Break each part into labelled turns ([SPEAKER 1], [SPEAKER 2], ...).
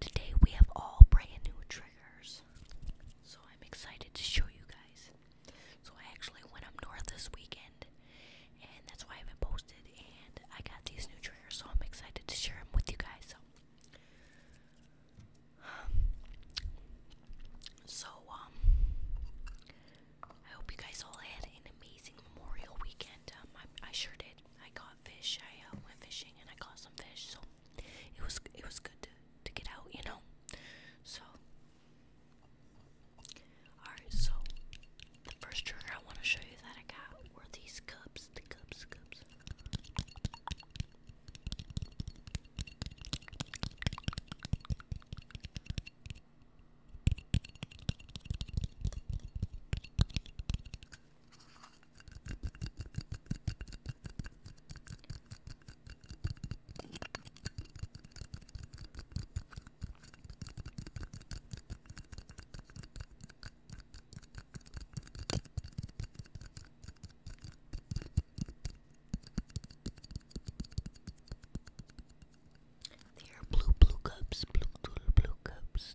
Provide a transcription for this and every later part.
[SPEAKER 1] Today we have all brand new triggers. So I'm excited to show you guys. So I actually went up north this weekend and that's why I haven't posted and I got these new triggers so I'm excited to share them with you guys. So so um I hope you guys all had an amazing Memorial weekend. Um I sure did. I got fish. I uh, went fishing and I caught some fish, so it was it was good to to get out, you know. So, all right. So the first trigger I want to show you that I got were these cups. The cups, cups. They are blue, blue cups, blue, blue, blue cups.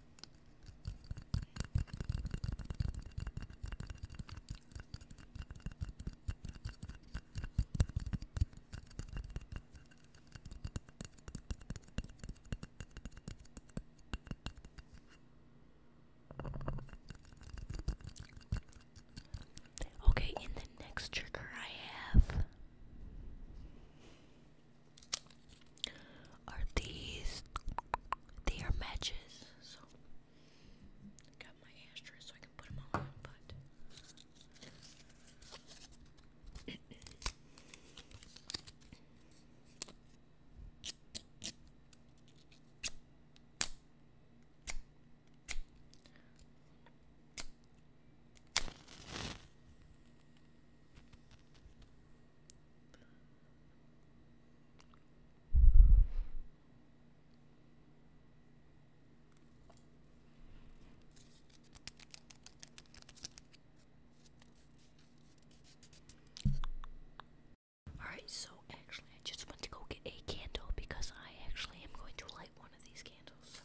[SPEAKER 1] Okay, in the next trigger I have are these. They matches. So, got my ashtray so I can put them on, Alright, so actually, I just went to go get a candle because I actually am going to light one of these candles.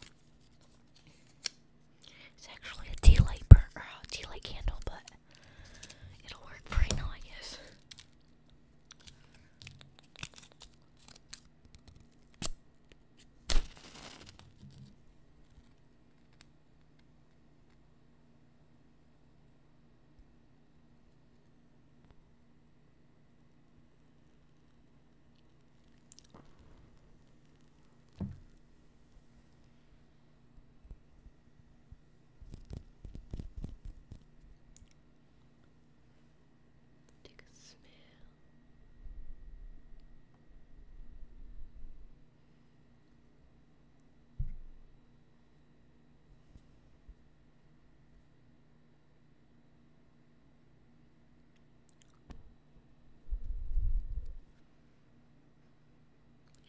[SPEAKER 1] It's actually a tea light, burn, a tea light candle, but it'll work for right now, I guess. Take a smell.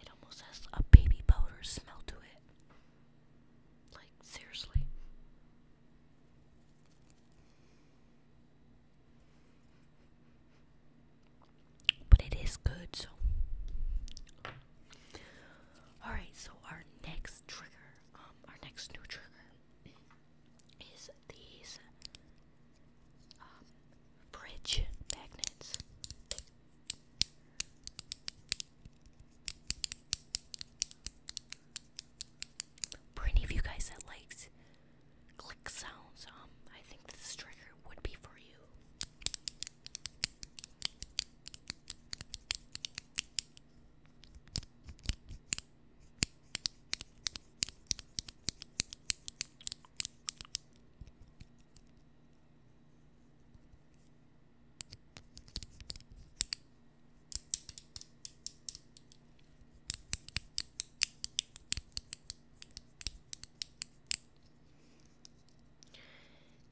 [SPEAKER 1] It almost has a baby powder smell to it. Like, seriously. But it is good, so. Alright, so our next trigger, um, our next new trigger is these bridge um, magnets. For any of you guys that likes click sounds, um, I think this trigger would be for you.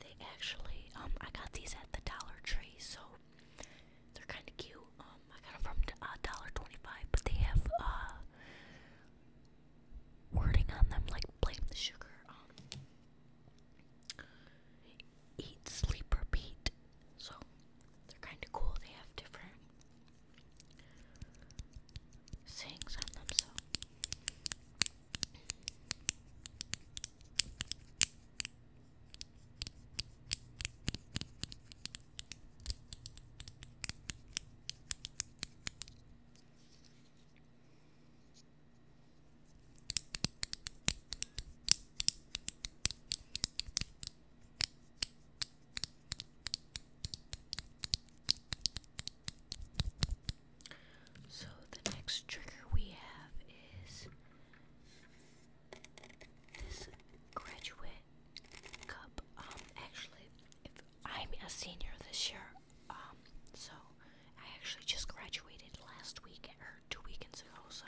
[SPEAKER 1] They actually, um, I got these at the Dollar Tree, so they're kind of cute. Um, I got them from a uh, dollar twenty-five, but they have uh, wording on them like blame the sugar, eat, sleep, repeat. So they're kind of cool. They have different sayings on them. So. So the next trigger we have is this graduate um, actually, I'm a senior this year, um, so I actually just graduated last week or two weekends ago. So.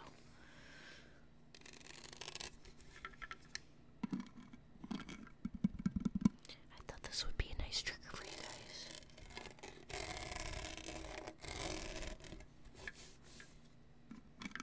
[SPEAKER 1] I thought this would be a nice trigger for you guys.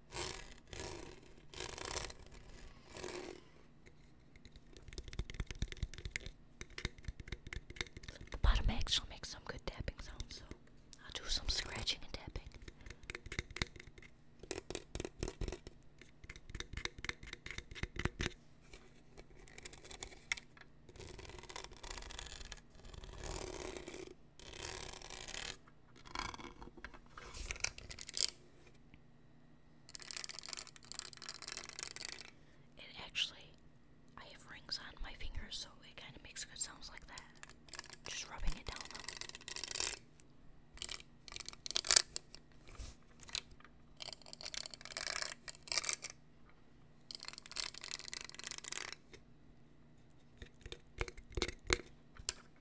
[SPEAKER 1] The bottom actually makes some good tapping sounds, so I'll do some scratching and tapping. It actually, I have rings on my fingers, so it kind of makes good sounds like that. Just rubbing it down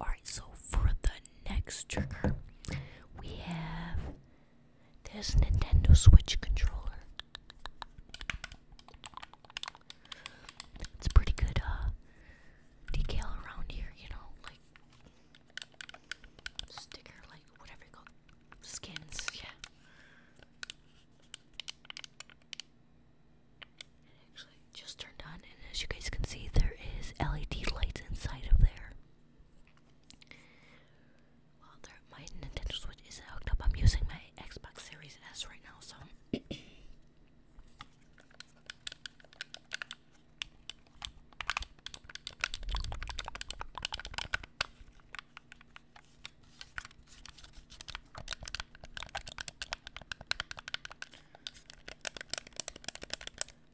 [SPEAKER 1] Alright, so for the next trigger, we have this Nintendo Switch controller. It's pretty good uh, around here, you know, like sticker, like whatever you call skins, yeah. It actually just turned on, and as you guys can see, there is LED lights inside of there. Well, my Nintendo Switch isn't hooked up. I'm using my Xbox Series S right now, so.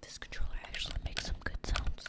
[SPEAKER 1] This controller actually makes some good sounds.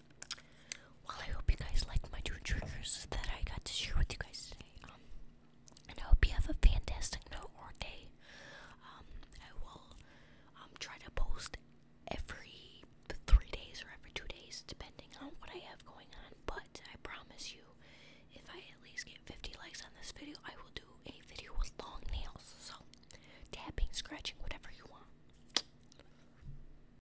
[SPEAKER 1] Well, I hope you guys liked my two triggers that I got to share with you guys today. Um, and I hope you have a fantastic night or day. Um, I will um try to post every three days or every two days, depending on what I have going on. But I promise you, if I at least get 50 likes on this video, I will do a video with long nails. So tapping, scratching, whatever you want.